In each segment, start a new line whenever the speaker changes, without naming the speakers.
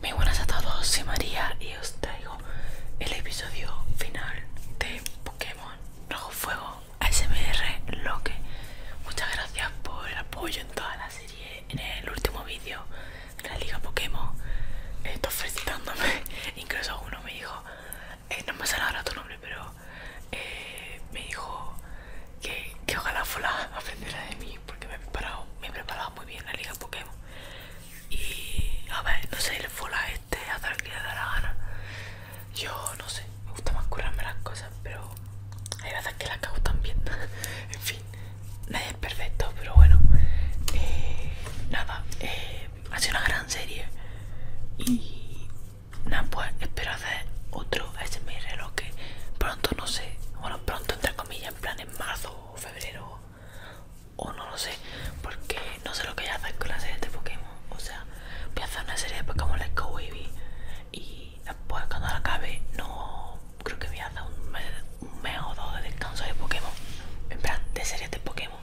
Muy buenas a todos, soy María y os traigo el episodio final de Pokémon Rojo Fuego ASMR Loque. Muchas gracias por el apoyo en toda la serie, en el último vídeo de la Liga Pokémon. Estoy felicitándome, incluso uno me dijo, eh, no me sale ahora tu nombre, pero eh, me dijo que, ojalá fuera aprendiera de mí porque me me he preparado muy bien la liga Pokémon. Y a ver, no sé, el Fola este, a lo que le da la gana. Yo no sé, me gusta más curarme las cosas, pero hay veces que las cago también. en fin, nadie es perfecto, pero bueno. Eh, nada, eh, ha sido una gran serie. Y nada, pues espero hacer otro ASMR, lo que pronto, no sé, bueno, pronto entre comillas, en plan en marzo o febrero o no lo sé, porque no sé lo que voy a hacer con la serie de Pokémon. O sea, voy a hacer una serie de Pokémon Let's Go y después cuando la acabe, no creo que voy a hacer un mes, o dos de descanso de Pokémon, en plan de series de Pokémon,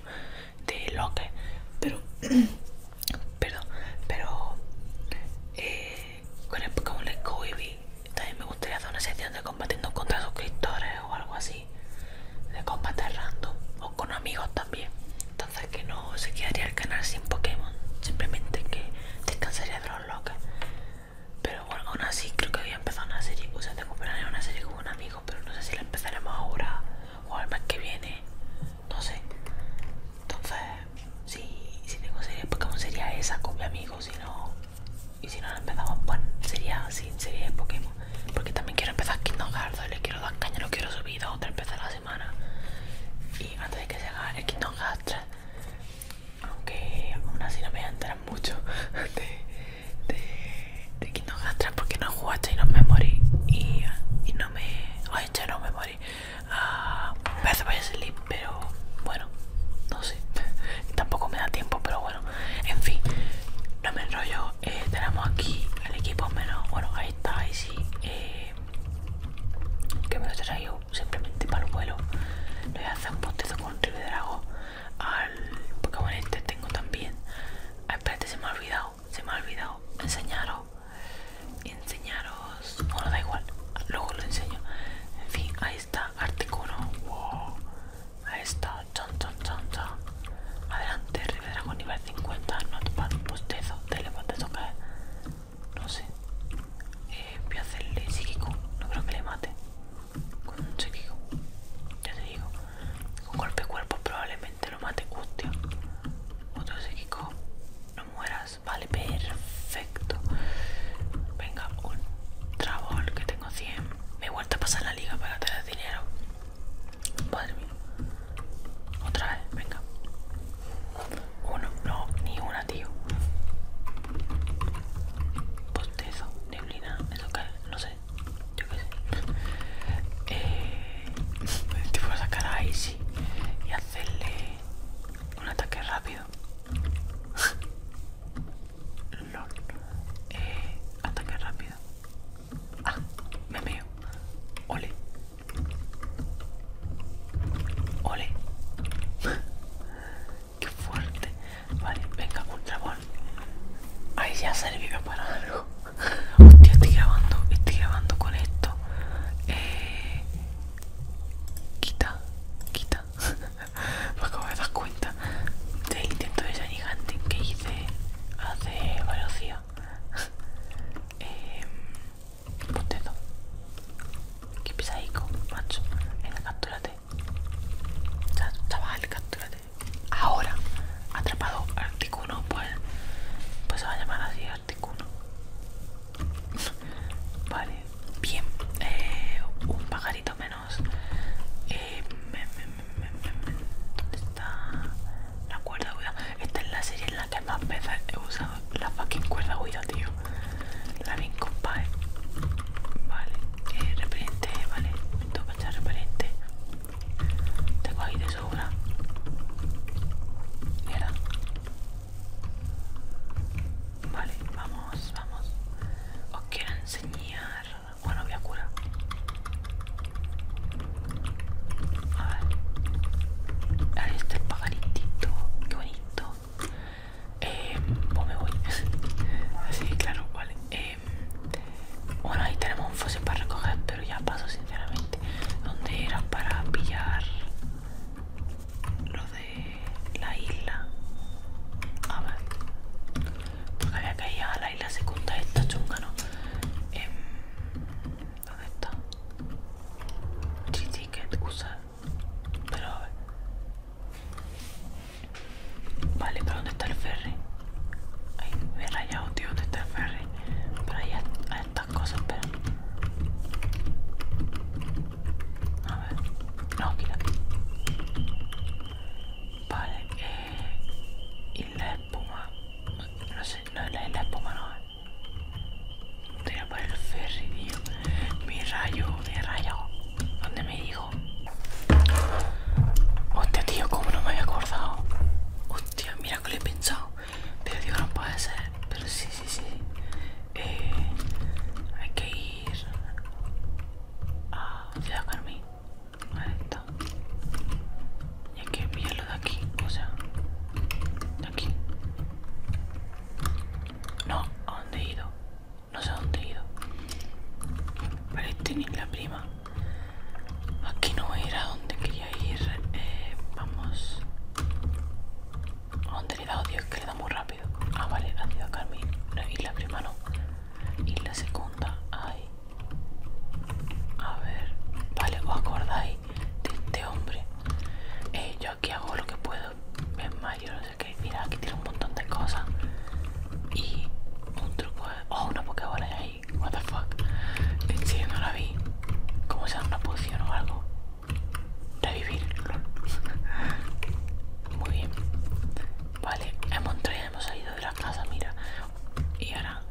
de que pero, perdón, pero eh, con el Pokémon Let's Go también me gustaría hacer una sección de combatiendo contra suscriptores o algo así. De combate random. O con amigos también. Entonces que no se quedaría el canal sin Pokémon. Simplemente que descansaría de los locos Pero bueno, aún así creo que voy a empezar una serie. O sea, tengo planeado una serie con un amigo. Pero no sé si la empezaremos ahora o al mes que viene. No sé. Entonces, si, si tengo serie de Pokémon sería esa con mi amigo. Si no, y si no lo empezamos, bueno, sería así, sería el Pokémon. Porque también quiero empezar Kingdom Hearts, le quiero dar caña, lo quiero subir otra otra empezar a la semana. Y antes de que se haga el Kingdom Hearts 3, aunque aún así no me voy a enterar mucho de, de, de Kingdom Hearts 3 porque no jugaste y no me morí. Y, y no me. Ay, ya no me morí. a Breath a Sleep pero bueno, no sé, tampoco me da tiempo, pero bueno, en fin, no me enrollo, eh, tenemos aquí el equipo menos, bueno, ahí está, ahí sí, eh, que me lo traigo simplemente para el vuelo, lo voy a hacer un control con dragón al Pokémon este tengo también, ah, espérate, se me ha olvidado, se me ha olvidado, enseñaros, enseñaros, bueno, da igual, luego lo enseño, en fin, ahí está Articuno, wow. Ahí está, chan, chan, chan, chan. Adelante, con nivel 50, no te pues, te bostezo, o caer, No sé. Eh, voy a hacerle psíquico, no creo que le mate. Con un psíquico, ya te digo. Con golpe cuerpo probablemente lo mate, hostia. Otro psíquico, no mueras, vale, perfecto perfecto. Venga, un trabol que tengo 100. Me he vuelto a pasar la liga para tener dinero. Madre mía. Otra vez, venga. Uno, no, ni una, tío. Postezo, neblina, eso que no sé. Yo qué sé. Eh, te puedo sacar a Icy y hacerle un ataque rápido. Lord. Eh, ataque rápido. Ah, me veo Ole. Ole. Qué fuerte. Vale, venga, ultra trabón Ahí ya sirvió para algo. Hostia, estoy grabando, estoy grabando con esto. Eh, quita, quita. Pues como me das cuenta del intento de Shiny Hunting que hice hace varios días. eh, em, Pontezo. Pues Qué pesadico, macho. Venga, captúrate. Chaval, captúrate. Ahora, atrapado Articuno, pues, pues se va a llamar así Articuno. vale, bien. Eh, un pajarito menos. Eh, ¿Dónde está la cuerda huida? Esta es la serie en la que más veces he usado la fucking cuerda huida, tío. La bien compadre. Eh. Vale, eh, vale. Me toca echar repente. Tengo ahí de sobra. Mira. Vale, vamos, vamos. Os bueno, voy a curar. A ver. Ahí está el pagarito Qué bonito. Eh, pues me voy. sí, claro, vale. Em, bueno, ahí tenemos un fósil para recoger, pero ya paso sinceramente. ¿Dónde era para pillar los la isla. A ver. Porque había que a la isla segunda esta chunga, ¿no? Em, ¿Dónde está? T-Ticket, cosa Pero a ver. Vale, pero ¿dónde está el ferry? Ay, me he rayado, tío, ¿dónde está el ferry? Pero ahí hay estas cosas, pero... A ver. No, quítate. Vale, eh. Y la espuma. No sé, no es la, de espuma, no. Te voy a el ferry, tío. Mi rayo, mi rayo. ¿Dónde me dijo? Hostia, tío, como no me había acordado. Hostia, mira que lo he pensado. Pero digo, no puede ser. Pero sí, sí, sí. Eh, hay que ir Ah, a Carmín, a esto y hay que enviarlo de aquí o sea de aquí no a dónde he ido no sé a dónde he ido para este ni la prima aquí no a donde quería ir eh, vamos dónde le da odio, es que le da muy rápido. Ah, vale, ha sido a Carmen. Y la primera no. Y la segunda, Ahí. A ver, vale, os acordáis de este hombre. Eh, yo aquí hago lo que puedo. Es mayor no sé qué. Mira, aquí tiene un montón de cosas. Y un truco. Oh, una pokebola ahí. What the fuck. En no la vi. Como sea, una poción o algo? Revivir. Muy bien. Vale, en y hemos salido de la casa, mira. Y ahora,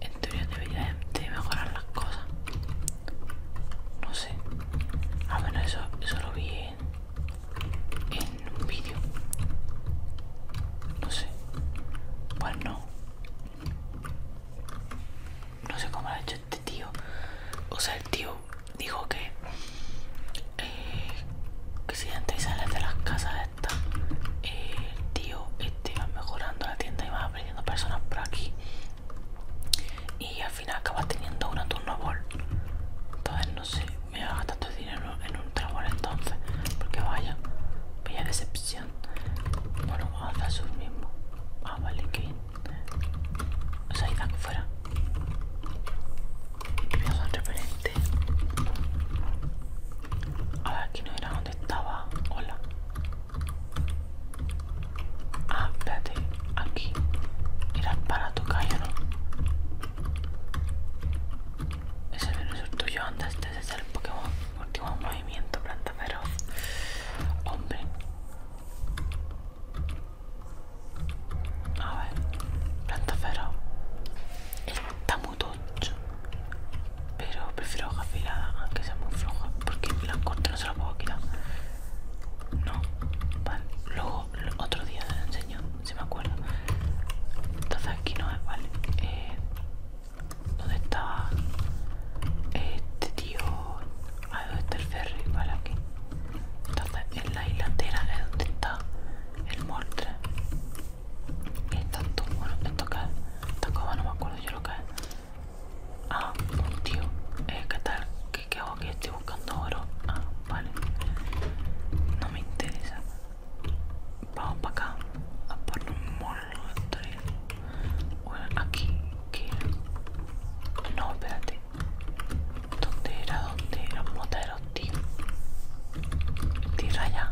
en teoría, debería de mejorar las cosas. No sé. al ah, menos eso, eso lo vi en, un vídeo. No sé. Pues no. No sé cómo lo ha hecho este tío. O sea, el tío dijo, que, eh, si entras y sales de las casas estas, el eh, tío, este, iba mejorando la tienda y vas aprendiendo personas por aquí. Y al final acabas teniendo una bol Entonces no sé, me voy a gastar todo el dinero en un trabajo entonces. Porque vaya, vaya decepción. Bueno, vamos a hacer eso mismo. Ah, vale, que O sea, ahí fuera a ver aquí no era donde estaba hola ah espérate aquí era para tu ¿o no ese menú es tuyo anda, este es el Pokémon último movimiento planta pero, hombre a ver, planta cero. Está muy Pero prefiero hoja afilada, aunque sea muy floja. Porque las cortas no se la puedo quitar. No, vale. Luego otro día se lo enseño, si me acuerdo. Entonces aquí no es, vale. Eh, ¿Dónde está este tío? Ah, ¿dónde está el ferry? Vale, aquí. Entonces en la hilatera es donde está el molde. Y todo bueno, esto que es, esta coba no me acuerdo yo lo que es. Ah, un tío, eh, ¿qué tal? ¿Qué, ¿Qué hago aquí? Estoy buscando oro. Ah, vale. No me interesa. Vamos para acá a poner un molde. Bueno, aquí, aquí. No, espérate. ¿Dónde era? ¿Dónde los Moteros, tío. Tierra ya.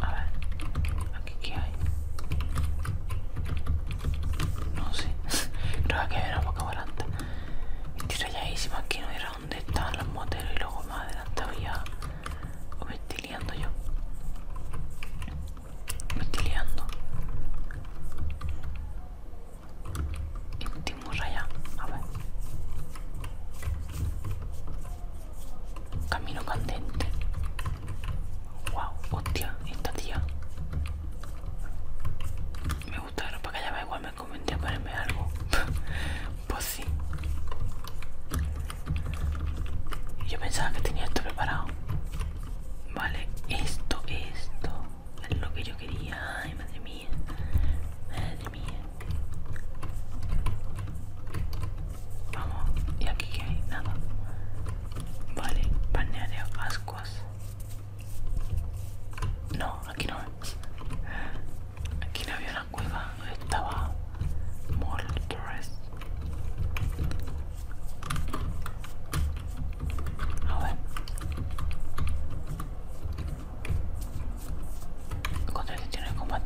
A ver, aquí qué hay. No sé. Creo que ver una boca volante. Estoy más Aquí no era ¿Dónde estaban los moteros y luego más adelante a... O me yo. Me estoy allá. A ver. Camino candente. Wow, hostia, esta tía. Me gusta para que me igual me comenté a ponerme algo. pues sí. Yo pensaba que tenía esto preparado. Vale, esto, esto es lo que yo quería. Ay, madre mía. Madre mía. Vamos, y aquí que hay nada. Vale, de ascuas. No, aquí no. Aquí no había una cueva. Estaba Moltres. A ver. Contra gestiones o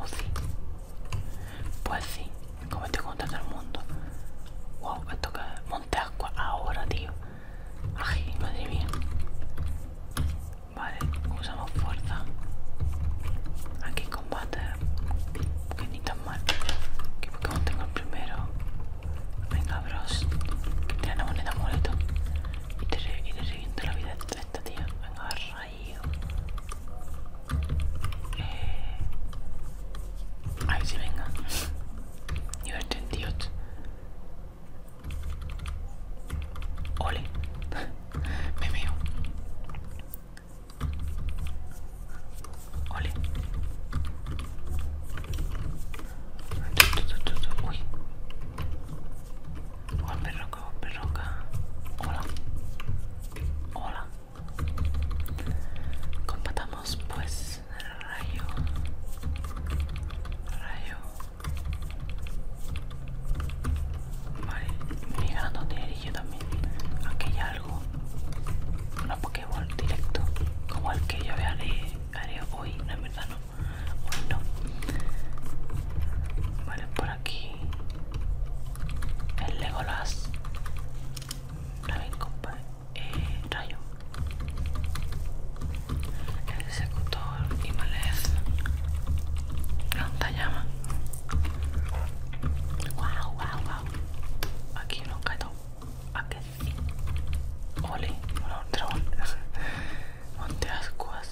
¿o sí. Pues sí, comete contra todo el mundo. Wow, esto que monte agua ahora, tío. Ay, madre mía. Vale, usamos fuerza. Aquí combate que ni tan mal que Pokémon tengo el primero venga bros que te una moneda molito y te, re, la vida esta tía venga rayo a ver si venga nivel 38 ole me olé Uy. Hola oh, Perroca, Juan Perroca. Hola. Hola. Compatamos pues rayo. Rayo. Vale, me llegan a yo también. Aquí hay algo. Una Pokéball directo. Como el que yo haré, haré hoy. No, es verdad no. Hoy no. Vale, por aquí. El Legolas. Raven compa. Eh, rayo. El Secutor y Malez. Planta llama. Wow, wow, wow. Aquí lo quedó. Aquí sí. Ole, Monte ascuas.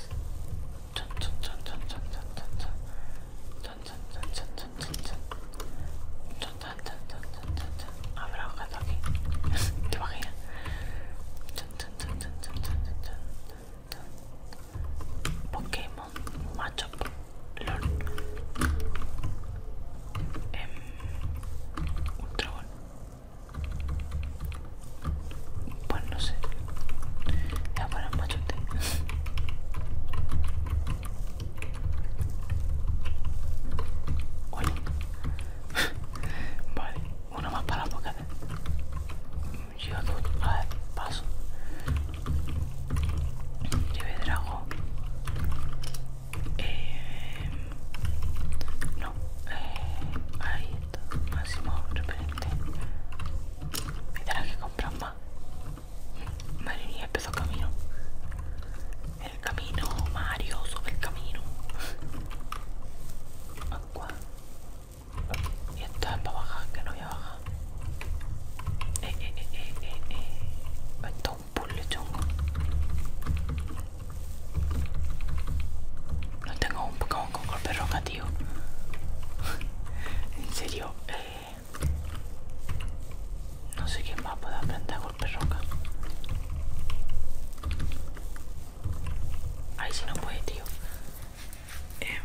Habrá un gato aquí. ¿Te imaginas? Pokémon macho LOL um, Ultra Pues no sé Ya para machote Oye Vale, uno más para la boca Yo dos, a ver, paso ¿Lleve Eh, no, eh, ahí está, máximo referente. tendrás que comprar más. Madre empezó camino. El camino, Mario, sobre el camino. Agua. Y esto es para bajar, que no voy a bajar. Eh, eh, eh, eh, eh, un No tengo un Pokémon con golpe roca, tío. en serio, eh, no sé quién más puede aprender a golpe roca. Ahí si no puede, tío eh,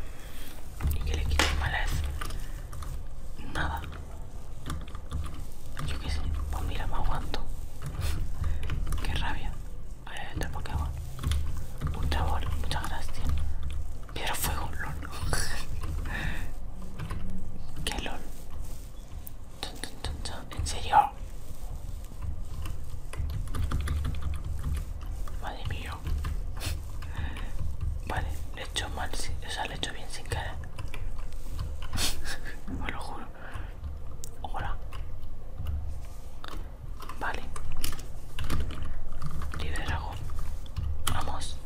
y que le quiten malas nada yo qué sé pues mira me aguanto que rabia eh, el Pokémon un bol muchas gracias piedra fuego lol que lol en serio Madre mía. Vale, le he hecho mal, o sea, le he hecho bien sin cara. me lo juro. Hola. Vale. dragón Vamos.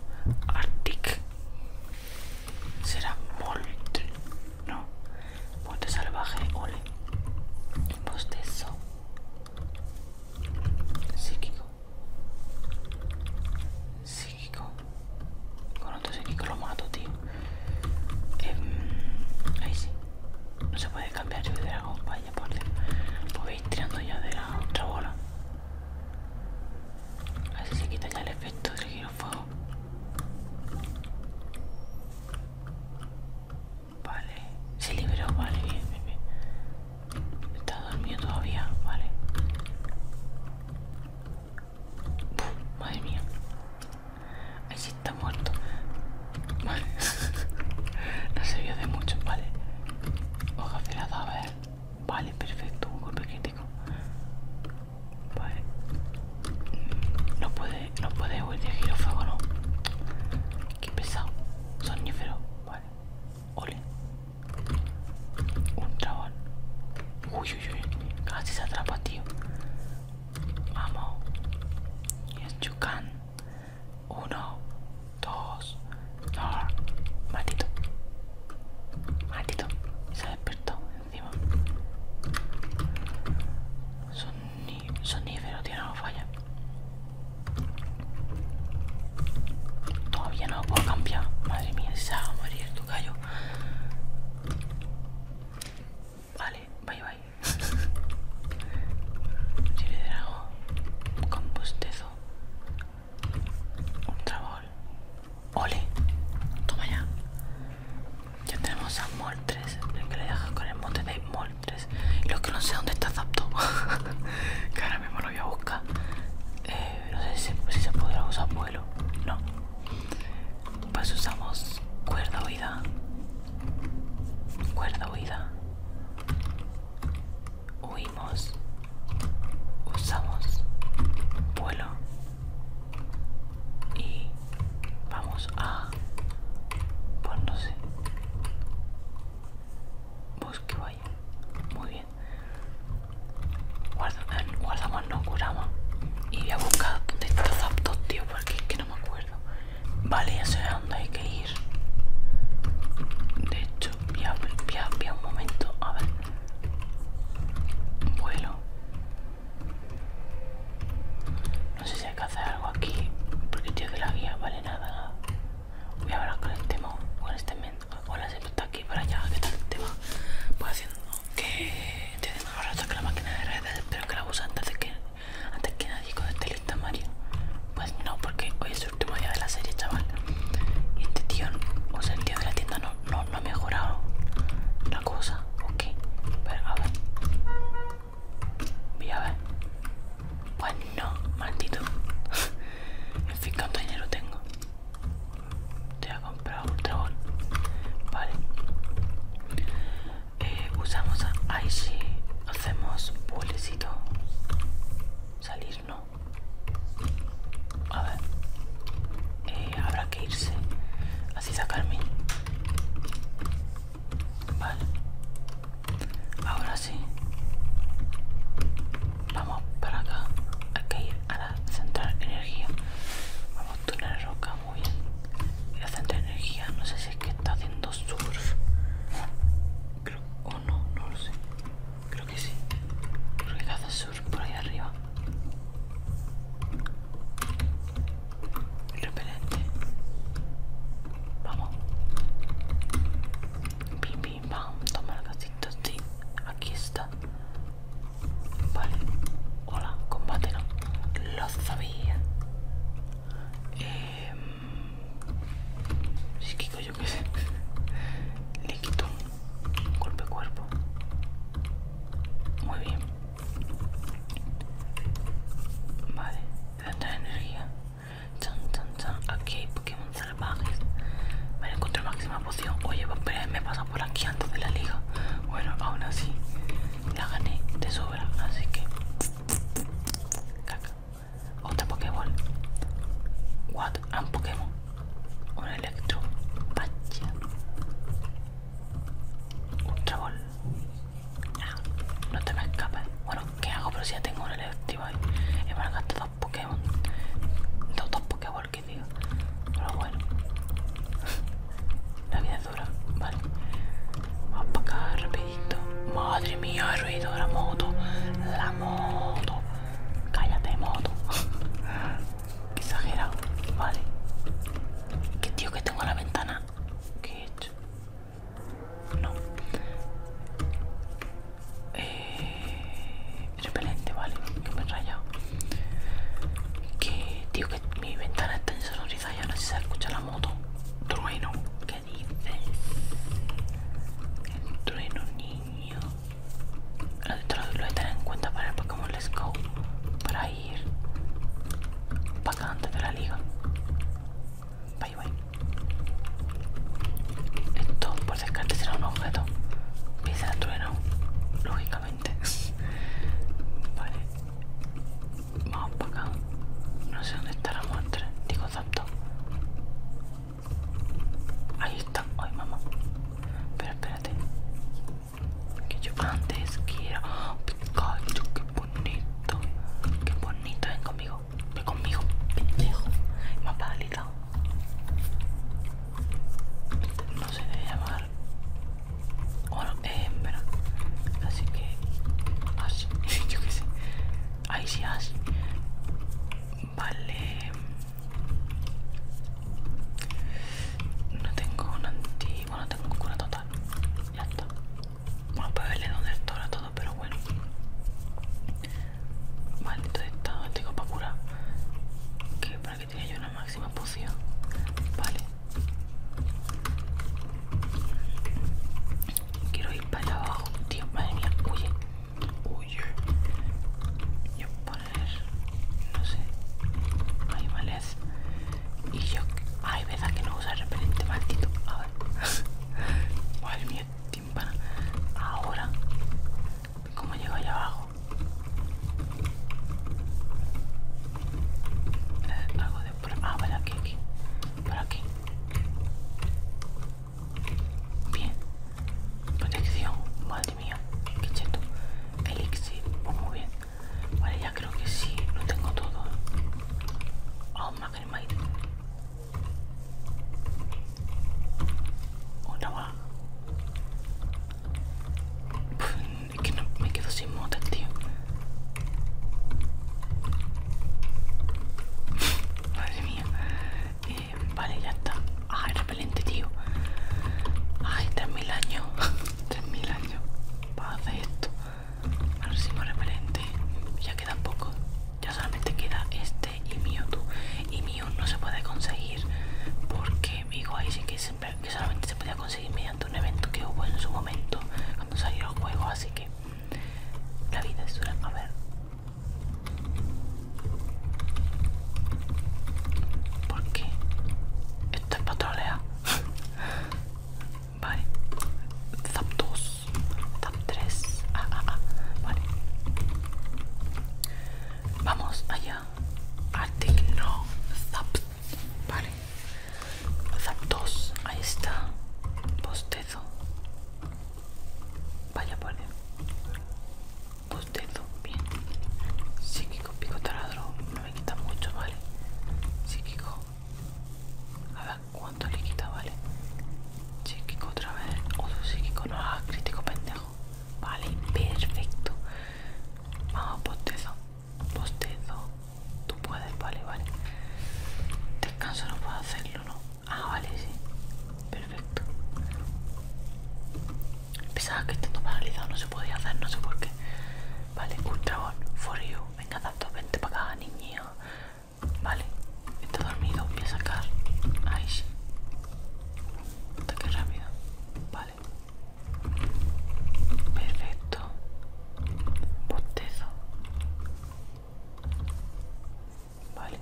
Arctic. Será Volt No. Volte salvaje. Ole. postezo Psíquico psíquico. Con otro psíquico lo mato, tío. Em, ahí sí. No se puede cambiar yo de dragón, vaya por Dios. Pues voy tirando ya de la otra bola. Así se quita ya el efecto del fuego Vale, se liberó, vale, bien, bien, bien. Está dormido todavía, vale. madre mía. Ahí sí está muerto. Vale. no se vio de mucho, vale. Hoja celada, a ver. Vale, perfecto. Un golpe crítico. Vale. Mm, no puede, no puede volver de girofuego, no. Qué pesado. Sonífero, vale. Ole. Un dragón. Uy, uy, uy. Casi se atrapa, tío. Vamos. Y es chucán Uno, dos, no, Maldito. Maldito. Se ha despertó encima. Son, tío, no falla. Todavía no puedo cambiar. Madre mía, se va a morir tu gallo. Vale, bye bye. Chile, le drago Un bostezo. Ultra Ole. Toma ya. Ya tenemos a Moltres, El que le dejas con el monte de Moltres. Y los que no sé dónde está Zapto. Cara voy a buscar. Eh, no sé si se, podrá usar vuelo. No. Pues usamos cuerda huida. Cuerda huida. Huimos. Usamos vuelo. Y vamos a... Pues no sé. vaya. Muy bien. Eh, guardamos, no curamos. Y voy a buscar de estos aptos, tío, porque es que no me acuerdo. Vale, ya sé a dónde hay que ir. De hecho, voy a, un momento. A ver. Vuelo. No sé si hay que hacer algo aquí. Porque tío que la guía vale nada, Voy a hablar con este, con este mente Hola, siempre está aquí para allá. ¿Qué tal te va? Pues haciendo que tienes mejor rato que la máquina de redes, pero que la usa antes de que, antes que nadie con este lista Mario. Pues no, porque hoy es el último día de la serie, chaval. Y este tío, o sea, el tío de la tienda no, ha mejorado la cosa. Ok, pero a ver. Voy a ver. Pues no, maldito. En fin, ¿cuánto dinero tengo? Te ha comprado un Ultra Vale. Eh, usamos a si Hacemos bulecito. Salir, no. A ver. Eh, habrá que irse. Así sacarme. Vale. Ahora sí vamos para acá hay que ir a la central energía vamos a túnel roca muy bien y la central energía no sé si es que está haciendo surf creo o no no lo sé creo que sí creo que hace surf por ahí arriba repelente vamos vamos a tomar casito sí, aquí está. Vale, hola, combate lo sabía. Eh, sí, yo qué sé. Le quito un golpe cuerpo. Muy bien. Vale, tanta energía. Chan, chan, chan. Aquí hay Pokémon salvajes. Me encontré máxima poción. Oye, pero me pasa por aquí antes de la liga. Bueno, aún así la gané de sobra. Así que. Caca. Otra Pokéball. What? Ah, un Pokémon. Un Electro. Pacha. Ultra ah, no te me escapes. Bueno, ¿qué hago? Pero si ya tengo un Electro. Y gastar Pokémon. Dos, Pokémon? ¿Qué que digo. Pero bueno. La vida es dura, vale. Vamos para acá rapidito. Madre mía, el ruido de la moto. La moto. Cállate, moto. exagerado, vale. Que tío que tengo la ventana. ¿Qué he hecho? No eh, repelente, ¿vale? Que me he rayado. Que, tío, que mi ventana está insonorizada no sé si se escucha la moto. Trueno, ¿qué dices? trueno, niño. Lo lo de tener en cuenta para el Pokémon Let's Go. Para ir para acá antes de la liga. Esto por descarte será un objeto. pisa el trueno, lógicamente. vale. Vamos para acá. No sé dónde está la muestra. Digo exacto Ahí está. Ay, mamá. Pero espérate. Que yo antes quiero. Pikachu, qué bonito. Qué bonito, ven conmigo. Ve conmigo, pendejo. Más paralizado. No se debe llamar. Bueno, eh, Así que. Así. Yo qué sé. Ahí sí, así. Vale. No tengo un anti. Bueno, tengo cura total. Ya está. Bueno, puede verle dónde está ahora todo, pero bueno. Maldito estado, tengo para curar. Que para que tenga yo una máxima poción. Vale. Quiero ir para allá abajo. Tío, madre mía, huye. Huye. Yo poner. No sé. animales Y yo. hay veces que no usa repelente, maldito. A ver. Madre mía, Ahora, ¿cómo llego allá abajo? Eh, algo de por ah, vale, aquí, aquí, por aquí. Bien, protección, madre mía, qué cheto. Elixir, pues muy bien. Vale, ya creo que sí, lo tengo todo. ¿eh? Oh, maíz una va, Es que me quedo sin motos, tío. Madre mía. Eh, vale, ya está. ay ah, repelente, tío. Ay, 3.000 años. 3.000 años. Para hacer esto. Ahora repelente. Ya queda poco ya solamente queda este y Mewtwo y mío no se puede conseguir porque digo ahí sí que, que solamente se podía conseguir mediante un evento que hubo en su momento cuando salió el juego así que la vida es dura a ver porque esto es patrolea vale Zapdos zap 3, ah, ah, ah, Vale. Vamos allá. artigno no. Zap. Vale. Zap 2. Ahí está. Postezo. Vaya por Postezo. Bien. Psíquico, pico taladro. No me quita mucho, ¿vale? Psíquico. A ver cuánto le quita, ¿vale? Psíquico otra vez. Uso psíquico, no haga crítico, pendejo. Vale, perfecto. Vamos, postezo. Postezo. Tú puedes, vale, vale. Descanso no puedo hacerlo, ¿no? Ah, vale, sí. Perfecto. Pensaba que estando paralizado no se podía hacer, no sé por qué. Vale, Ultrabón, for you. Venga, tanto, vente para acá, niña. Vale, está dormido. Voy a sacar. Ahí sí. rápido. Vale. Perfecto. Bostezo. Vale.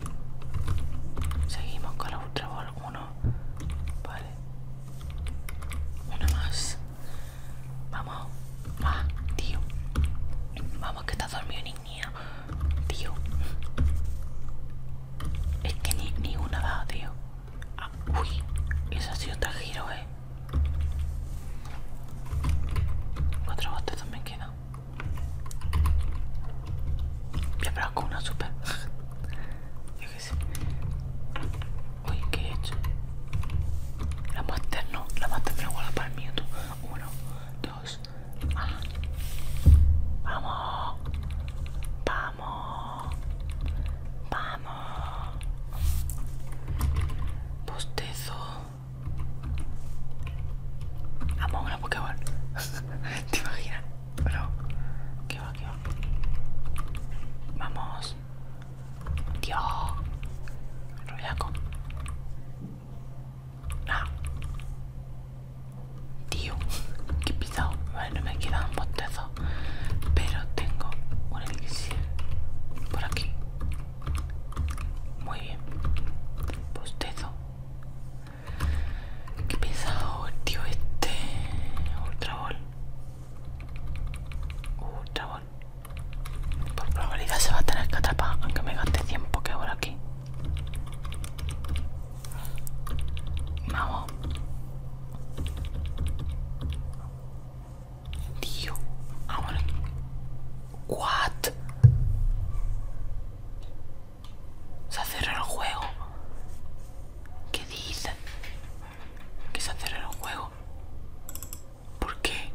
Seguimos con la Ultra Ball 1. Vale. Una más. Vamos. Va, ah, tío. Vamos que estás dormido, es que ni, ni una da, tío. Ah, uy, esa ha sido otra giro, eh. Cuatro botes también quedan. Ya, pero con una super. Yo qué sé. Uy, ¿qué he hecho? La muestra no, la maté me igual para el mío Uno, dos, Vamos, Vamos, vamos, vamos. Bostezo. Vamos, una pokeball, ¿Te imaginas? Pero, ¿qué va, qué va? Vamos. Dios. Tío, qué pisado. no me un postezo, Pero tengo un elixir por aquí. Muy bien. Bostezo. Que pisado tío este. Ultra ball. Ultra ball. Por probabilidad se va a tener que atrapar, aunque me gaste tiempo que ahora aquí. Vamos. Tío, ahora. What? Se ha el juego. ¿Qué dice? Que se ha cerrado el juego. ¿Por qué?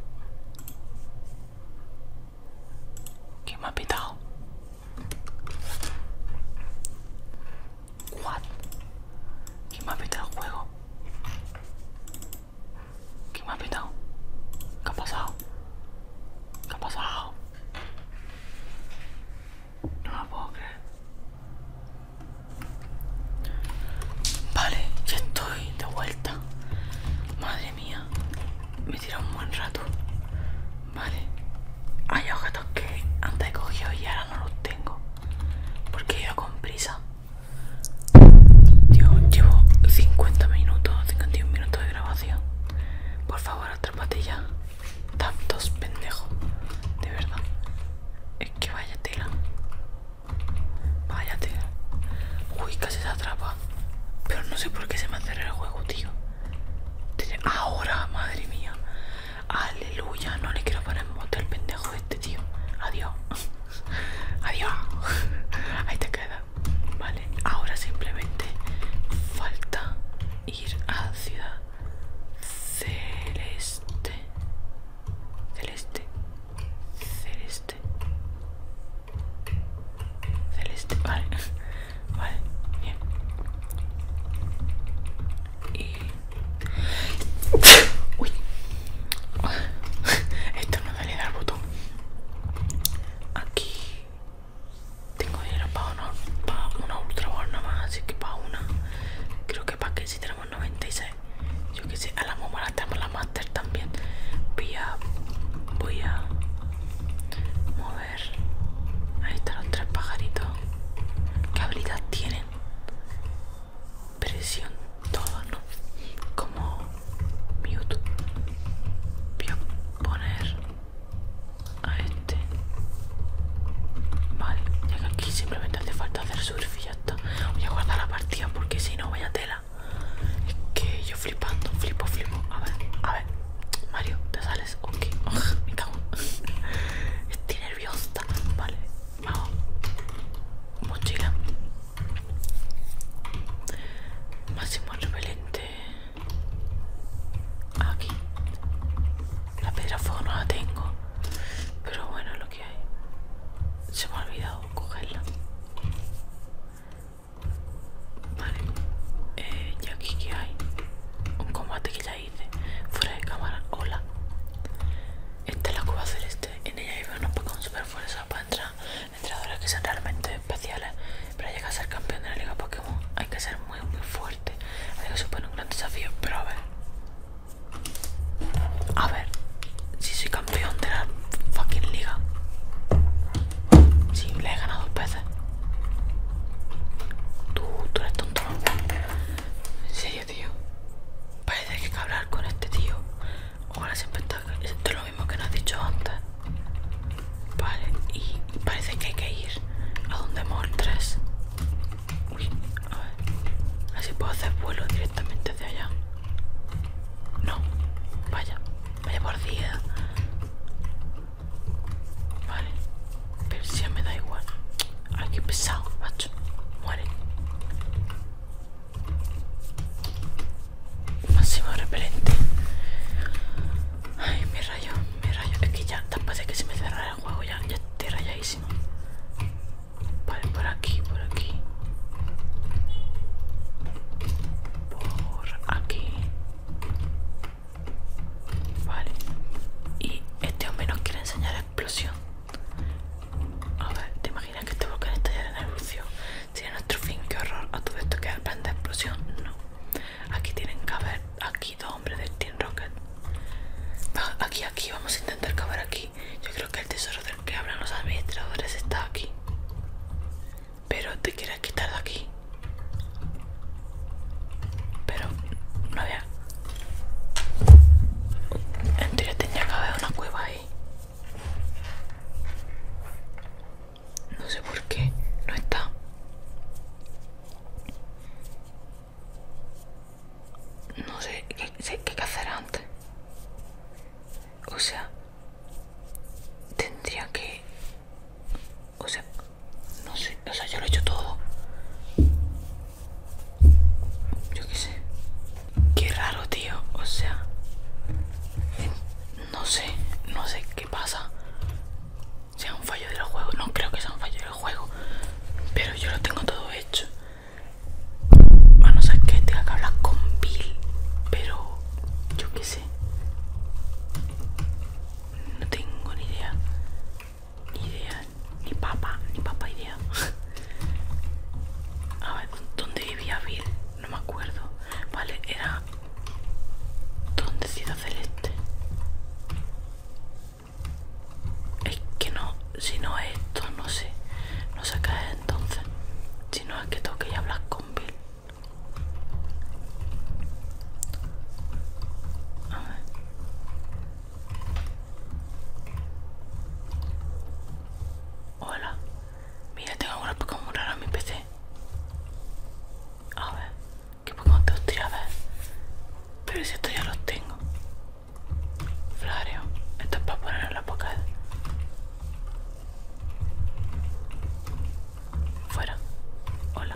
¿Qué me ha pitado? What? ¿Quién me ha pitado el juego? ¿Quién me ha pitado? ¿Qué ha pasado? ¿Qué ha pasado? No lo puedo creer. Vale, ya estoy de vuelta. Madre mía, Tira un buen rato. Vale. Hay objetos que antes he cogido y ahora no los tengo. Porque ido con prisa. Tío, llevo 50 minutos, 51 minutos de grabación. Por favor, atrápate ya. Tantos pendejos. De verdad. Es que vaya tela. Vaya tela. Uy, casi se atrapa. Pero no sé por qué se me cerrado el juego, tío. Ahora, madre mía. Aleluya, no le quiero poner moto al pendejo este tío. Adiós. Adiós. Ahí te queda. Vale, ahora simplemente falta ir a Ciudad Celeste. Celeste. Celeste. Celeste, vale. Vale, bien. Y... Uy. Esto no dale al botón. Aquí tengo dinero para una, una ultra ball más, así que para una. Creo que para que si tenemos 96. Yo que sé, a la momo la tenemos la master también. Voy a. Voy a. mover... Ahí están los tres pajaritos. ¿Qué habilidad tienen? Presión todo, ¿no? Como mute. Voy a poner a este. Vale, ya que aquí simplemente hace falta hacer surf y ya está. Voy a guardar la partida porque si no, vaya tela. Es que yo flipando, flipo, flipo. A ver, a ver. Mario, ¿te sales? Ok, me cago. Estoy nerviosa. Vale, vamos. Mochila. Máximo repelente. Aquí. La piedra fuego no la tengo. Pero bueno, lo que hay. Se me ha olvidado cogerla. Vale, eh, y aquí que hay un combate que ya hice fuera de cámara. Hola, esta es la hacer este, En ella hay unos Pokémon super fuerza para entrar. Entrenadores que son realmente especiales. Para llegar a ser campeón de la liga Pokémon hay que ser muy, muy fuerte. Así que supone un gran desafío. Pero a ver, a ver, si soy campeón de la fucking liga. Si, le he ganado dos veces. Tú, tú eres tonto. En serio, tío. Parece que hay que hablar con este tío. con las está. Esto es lo mismo que nos has dicho antes. Vale, y parece que hay que ir a donde muestres. Uy, a ver. Así puedo hacer vuelo directamente de allá. No, vaya, vaya por día. Vale, pero si me da igual. Ay, qué pesado, macho. Muere. Máximo repelente. Ay, me rayo, me rayo. Es que ya, tan de que se me cerrara el juego, ya, ya estoy rayadísimo. Vale, por aquí, por aquí. Por aquí. Vale. Y este hombre nos quiere enseñar explosión. A ver, ¿te imaginas que este volcán estallará en Si es nuestro fin, que horror. A todo esto que el plan de explosión. No. Aquí tienen que haber aquí dos hombres del Team Rocket. aquí, aquí, vamos a intentar cavar aquí. Yo creo que el tesoro del que hablan los administradores está aquí. Pero te quieres quitar de aquí. Pero no había. En tenía que haber una cueva ahí. No sé por qué no está. No sé qué, qué hacer antes. O sea, tendría que o sea, no sé, o sea, yo lo he hecho todo. Yo qué sé. Qué raro, tío. O sea, no sé, no sé qué pasa. Sea un fallo del juego, no creo que sea un fallo del juego, pero yo lo tengo todo hecho. A no ser que tenga que hablar con Bill, pero yo qué sé. No tengo ni idea. Ni idea. Ni papá. Ni papá idea. A ver, ¿dónde vivía Bill? No me acuerdo. Vale, era... ¿Dónde Ciudad Celeste? Es que no, si no es esto, no sé. No sé qué entonces. Si no es que tengo que hablas hablar con Bill. Hola. Mira, tengo una Pokémon rara en mi PC. A ver. ¿Qué Pokémon te gustaría a ver? Pero si estos ya los tengo. Flario, Esto es para poner en la Pokédex. Fuera. Hola.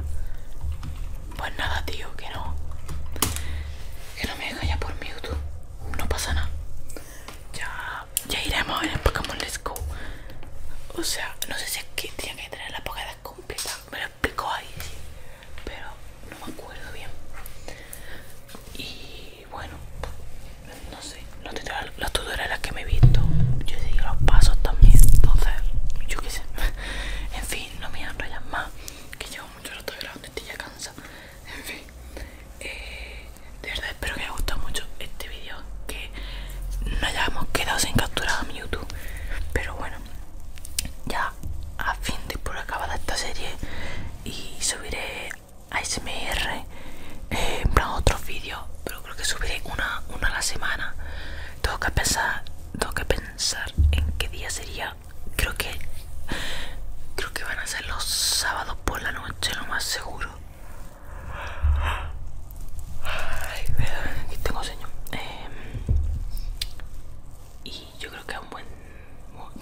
Pues nada, tío, que no. Que no me deja ya por YouTube, No pasa nada. Ya, ya iremos en el Pokémon Let's Go. O sea, no sé si es que tenía que tener la Pokédex completa. Me lo explicó ahí, Pero no me acuerdo bien. Y bueno, no sé, no te las los tutoriales que me he visto, yo he seguido los pasos también, entonces, yo qué sé, en fin, no me enrollan más, que llevo mucho rato grabando y estoy ya cansa en fin, eh, de verdad espero que os haya gustado mucho este vídeo, que no hayamos quedado sin capturar a mi YouTube, pero bueno, ya a fin de por acabada esta serie y subiré ASMR, eh, en plan otros vídeos creo que subiré una, una a la semana. Tengo que pensar, tengo que pensar en qué día sería. Creo que creo que van a ser los sábados por la noche, lo más seguro. Ay, aquí tengo sueño. Em, y yo creo que es un buen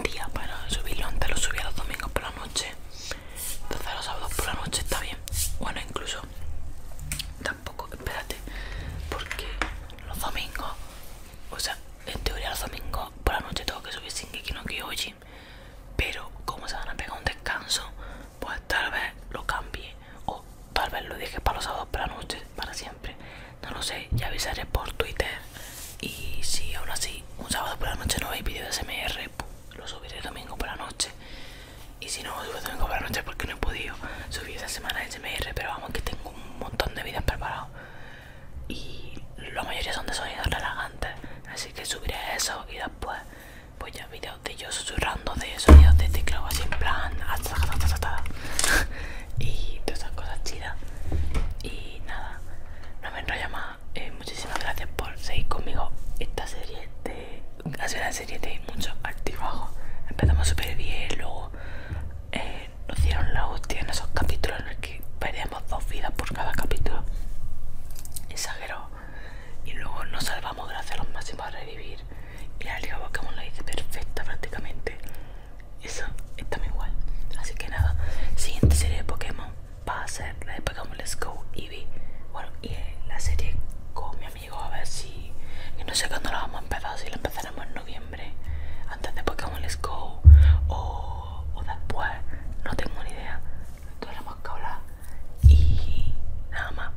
día para subirlo. Antes lo subía los domingos por la noche. Entonces los sábados por la noche está bien. Bueno, incluso Tampoco, espérate, porque los domingos, o sea, en teoría los domingos por la noche tengo que subir sin que no hoy. pero como se van a pegar un descanso, pues tal vez lo cambie o tal vez lo dije para los sábados por la noche, para siempre. No lo sé, ya avisaré por Twitter y si aún así un sábado por la noche no veis vídeo de SMR, pues lo subiré domingo por la noche. Y si no lo subo domingo por la noche, porque no he podido subir esa semana el SMR, pero vamos, que tengo un montón de videos preparados. Y la mayoría son de sonidos relajantes. Así que subiré eso y después, pues ya vídeos de yo susurrando, de sonidos de teclado así en plan. y todas esas cosas chidas. Y nada, no me enrollo más. Eh, muchísimas gracias por seguir conmigo esta serie de sido una serie de muchos altibajos. Empezamos súper bien, luego eh, nos dieron la hostia en esos capítulos en los que perdíamos dos vidas por cada capítulo. Exagero. Y luego nos salvamos gracias a los máximos a revivir. Y la Liga Pokémon la hice perfecta prácticamente. Eso está muy guay. Así que nada, siguiente serie de Pokémon va a ser la de Pokémon Let's Go Eevee. Bueno, y la serie con a ver si. no sé cuándo lo vamos a empezar, si lo empezaremos en noviembre, antes de Pokémon Let's Go o, después, no tengo ni idea. Tenemos que hablar y nada más.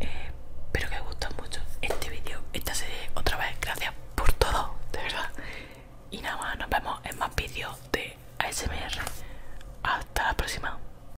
Eh, espero que os guste mucho este vídeo, esta serie. Otra vez, gracias por todo, de verdad. Y nada más, nos vemos en más vídeos de ASMR. Hasta la próxima.